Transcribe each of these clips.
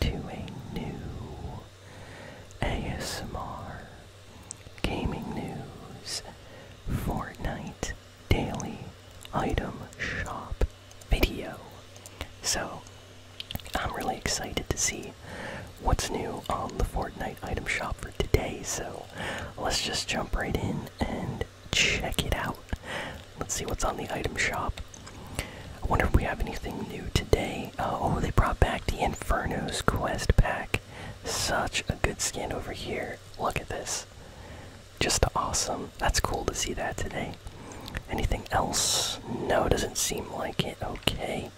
to a new ASMR gaming news Fortnite daily item shop video. So, I'm really excited to see what's new on the Fortnite item shop for today. So, let's just jump right in and check it out. Let's see what's on the item shop. I wonder if we have anything new today. Uh, oh, they brought back the Inferno's Quest pack. Such a good skin over here. Look at this. Just awesome. That's cool to see that today. Anything else? No, doesn't seem like it. Okay.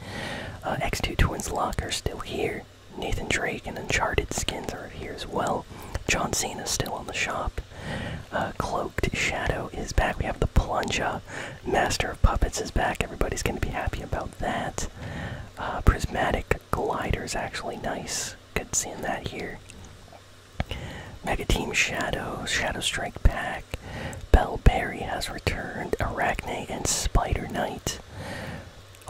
Uh, X2 Twins Lock are still here. Nathan Drake and Uncharted skins are here as well. John Cena's still in the shop. Uh, Cloaked Shadow is back. We have the Plunger. Master of Puppets is back. Everybody's going to be happy about that. Uh, prismatic Glider's actually nice. Good seeing that here. Mega Team Shadow, Shadow Strike Pack. Bellberry has returned. Arachne and Spider Knight.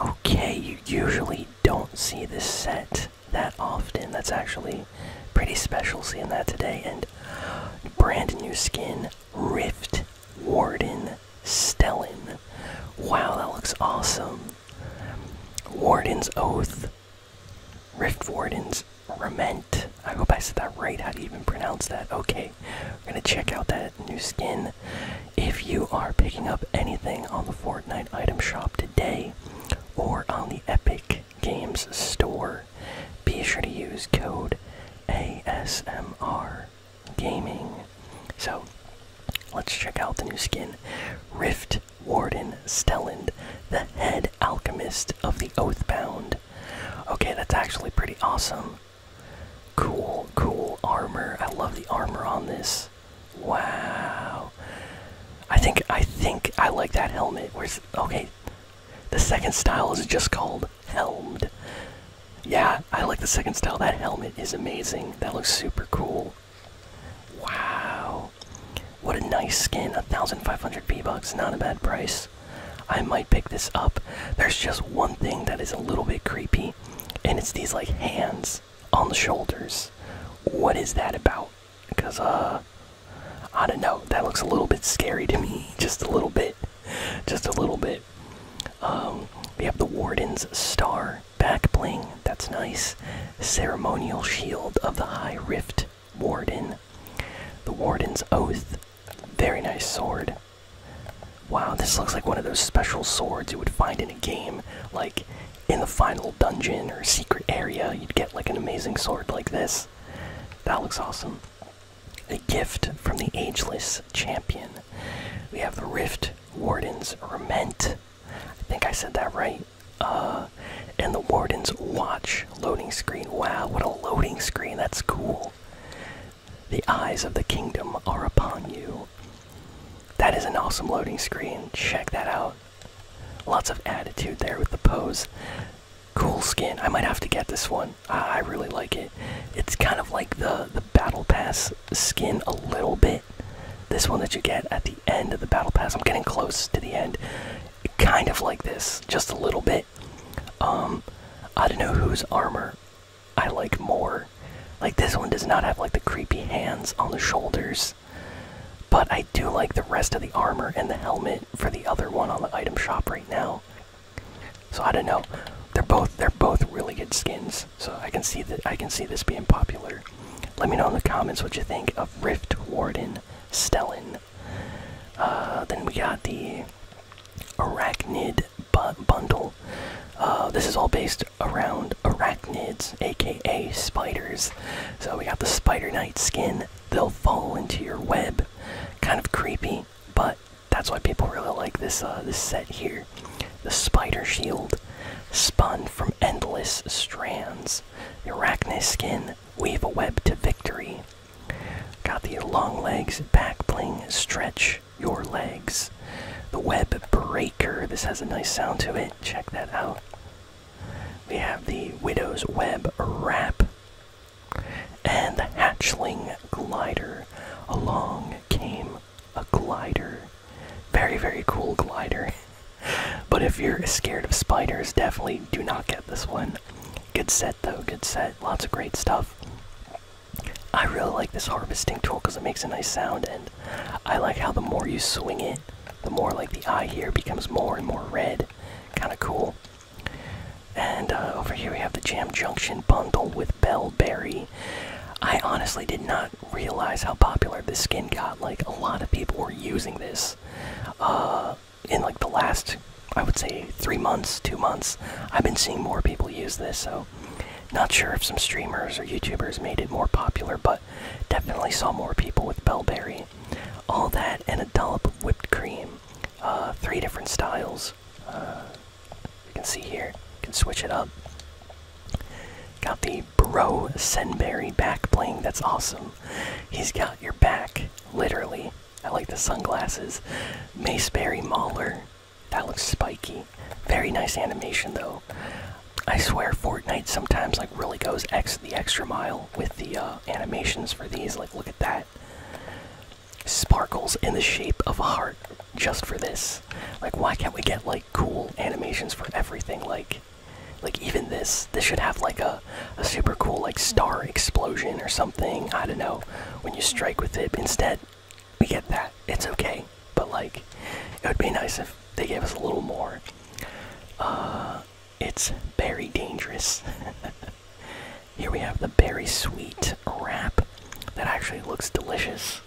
Okay, you usually don't see this set that often. That's actually pretty special seeing that today and brand new skin rift warden stellan wow that looks awesome warden's oath rift warden's Rament. I hope I said that right. How do you even pronounce that? Okay, we're gonna check out that new skin. If you are picking up anything on the Fortnite item shop today or on the Epic Games Store. Be sure to use code ASMR Gaming. So, let's check out the new skin Rift Warden Stelland, the head alchemist of the Oathbound. Okay, that's actually pretty awesome. Cool, cool armor. I love the armor on this. Wow. I think I think I like that helmet. Where's okay? The second style is just called helmed. Yeah, I like the second style. That helmet is amazing. That looks super cool. Wow. What a nice skin. 1,500 V-Bucks. Not a bad price. I might pick this up. There's just one thing that is a little bit creepy, and it's these like hands on the shoulders. What is that about? Because, uh, I don't know. That looks a little bit scary to me. Just a little bit. Just a little bit. Um, we have the Warden's Star back bling. That's nice. Ceremonial Shield of the High Rift Warden. The Warden's Oath. Very nice sword. Wow, this looks like one of those special swords you would find in a game. Like in the final dungeon or secret area, you'd get like an amazing sword like this. That looks awesome. A gift from the Ageless Champion. We have the Rift Warden's Rement. I think I said that right. Uh, and the Warden's Watch loading screen. Wow, what a loading screen. That's cool. The eyes of the kingdom are upon you. That is an awesome loading screen. Check that out. Lots of attitude there with the pose. Cool skin. I might have to get this one. I, really like it. It's kind of like the the battle pass skin a little bit. This one that you get at the end of the battle pass. I'm getting close to the end. Kind of like this, just a little bit. Um, I don't know whose armor I like more. Like this one does not have like the creepy hands on the shoulders but I do like the rest of the armor and the helmet for the other one on the item shop right now. So I don't know. They're both they're both really good skins. So I can see that I can see this being popular. Let me know in the comments what you think of Rift Warden Stellan. Uh, then we got the Arachnid bundle. Uh, this is all based around arachnids, aka spiders. So we got the Spider Knight skin, they'll fall into your web. Kind of creepy, but that's why people really like this uh, this set here. The spider shield, spun from endless strands. The skin, weave a web to victory. Got the long legs, back bling, stretch your legs. The web breaker. This has a nice sound to it. Check that out. We have the Widow's Web Wrap and the Hatchling Glider. Along came a glider. Very, very cool glider. but if you're scared of spiders, definitely do not get this one. Good set, though. Good set. Lots of great stuff. I really like this harvesting tool because it makes a nice sound, and I like how the more you swing it, the more like the eye here becomes more and more red, Kind of cool. And uh, over here we have the Jam Junction bundle with Bellberry. I honestly did not realize how popular this skin got. Like, a lot of people were using this uh, in like the last, I would say, three months, two months. I've been seeing more people use this, so not sure if some streamers or YouTubers made it more popular, but definitely saw more people with Bellberry. All that and a dollop of whipped cream. Uh, three different styles. Uh, you can see here. You can switch it up. Got the Bro Senberry back bling. That's awesome. He's got your back, literally. I like the sunglasses. Maceberry Mauler. That looks spiky. Very nice animation, though. I swear Fortnite sometimes like really goes ex the extra mile with the uh, animations for these. Like, look at that. Sparkles in the shape of a heart just for this. Like, why can't we get, like, cool animations for everything? Like, like even this, this should have, like, a, a super cool, like, star explosion or something. I don't know. When you strike with it. Instead, we get that. It's okay. But, like, it would be nice if they gave us a little more. Uh, it's very dangerous. Here we have the very sweet wrap that actually looks delicious.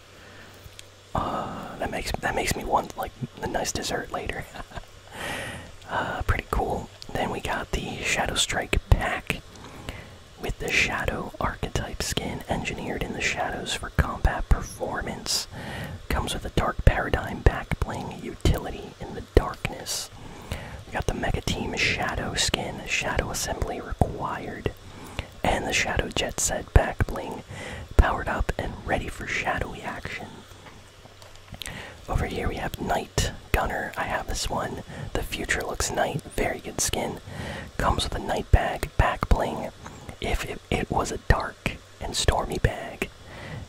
Uh, that makes that makes me want like a nice dessert later. Uh, pretty cool. Then we got the Shadow Strike pack with the Shadow archetype skin engineered in the shadows for combat performance. Comes with a Dark Paradigm back bling utility in the darkness. We got the Mega Team Shadow skin, Shadow Assembly required, and the Shadow Jet Set back bling, powered up and ready for shadowy action. Over here we have Night Gunner. I have this one. The Future Looks night. very good skin. Comes with a night bag, back bling. If it was a dark and Stormy Bag.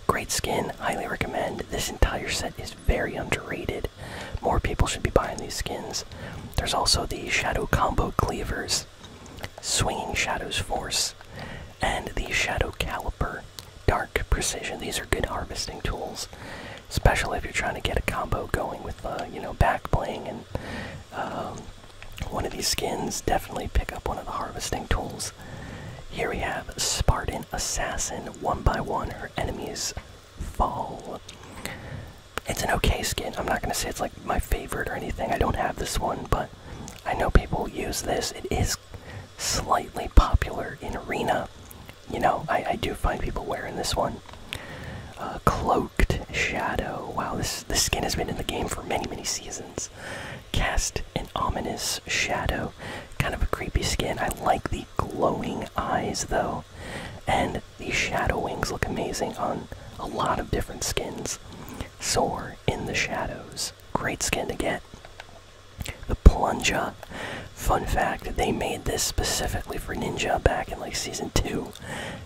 Great skin, highly recommend. This entire set is very underrated. More people should be buying these skins. There's also the Shadow Combo Cleavers, Swinging Shadows Force, and the Shadow Caliper, Dark Precision. These are good harvesting tools, especially if you're trying to get a combo going with, uh, you know, back playing and um, one of these skins. Definitely pick up one of the harvesting tools. Here we have Spartan Assassin. One by one, her enemies fall. It's an okay skin. I'm not going to say it's like my favorite or anything. I don't have this one, but I know people use this. It is slightly popular in Arena. You know, I, do find people wearing this one. Uh, cloaked Shadow. Wow, this, this skin has been in the game for many, many seasons. Cast an ominous shadow. Kind of a creepy skin. I like the glowing eyes though. And the shadow wings look amazing on a lot of different skins. Soar in the shadows. Great skin to get. The Plunger. Fun fact, they made this specifically for Ninja back in like season 2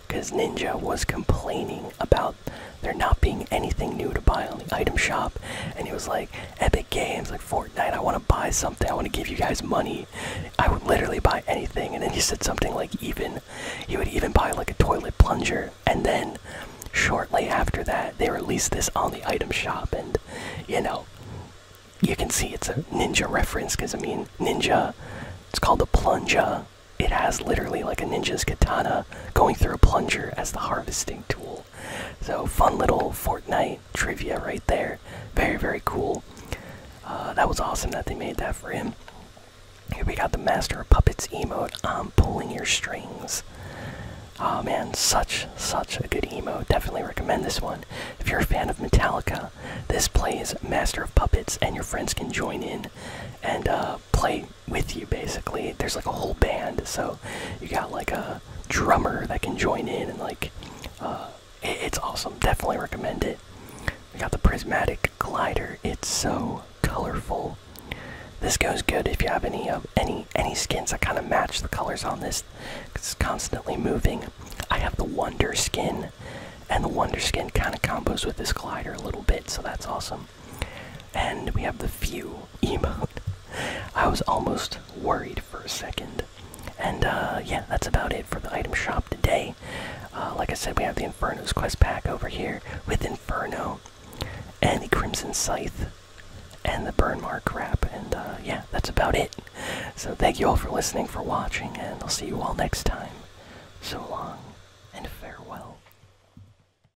because Ninja was complaining about there not being anything new to buy on the item shop, and he was like, Epic Games, like Fortnite, I want to buy something, I want to give you guys money. I would literally buy anything. And then he said something like, even, he would even buy like a toilet plunger. And then shortly after that, they released this on the item shop, and you know, you can see it's a ninja reference because I mean, ninja, it's called the plunger. It has literally like a ninja's katana going through a plunger as the harvesting tool. So fun little Fortnite trivia right there. Very very cool. Uh, that was awesome that they made that for him. Here we got the Master of Puppets emote. I'm pulling your strings. Oh man, such such a good emote. Definitely recommend this one. If you're a fan of Metallica, this plays Master of Puppets, and your friends can join in and uh, play with you basically. There's like a whole band, so you got like a drummer that can join in and like uh, it's awesome. Definitely recommend it. We got the prismatic glider. It's so colorful. This goes good if you have any of um, any any skins that kind of match the colors on this. It's constantly moving. I have the wonder skin, and the wonder skin kind of combos with this glider a little bit, so that's awesome. And we have the few emote. I was almost worried for a second. And uh, yeah, that's about it for the item shop today. Uh, like I said, we have the Inferno's quest pack over here with Inferno and the Crimson Scythe and the Burn Mark wrap. And uh, yeah, that's about it. So thank you all for listening, for watching, and I'll see you all next time. So long and farewell.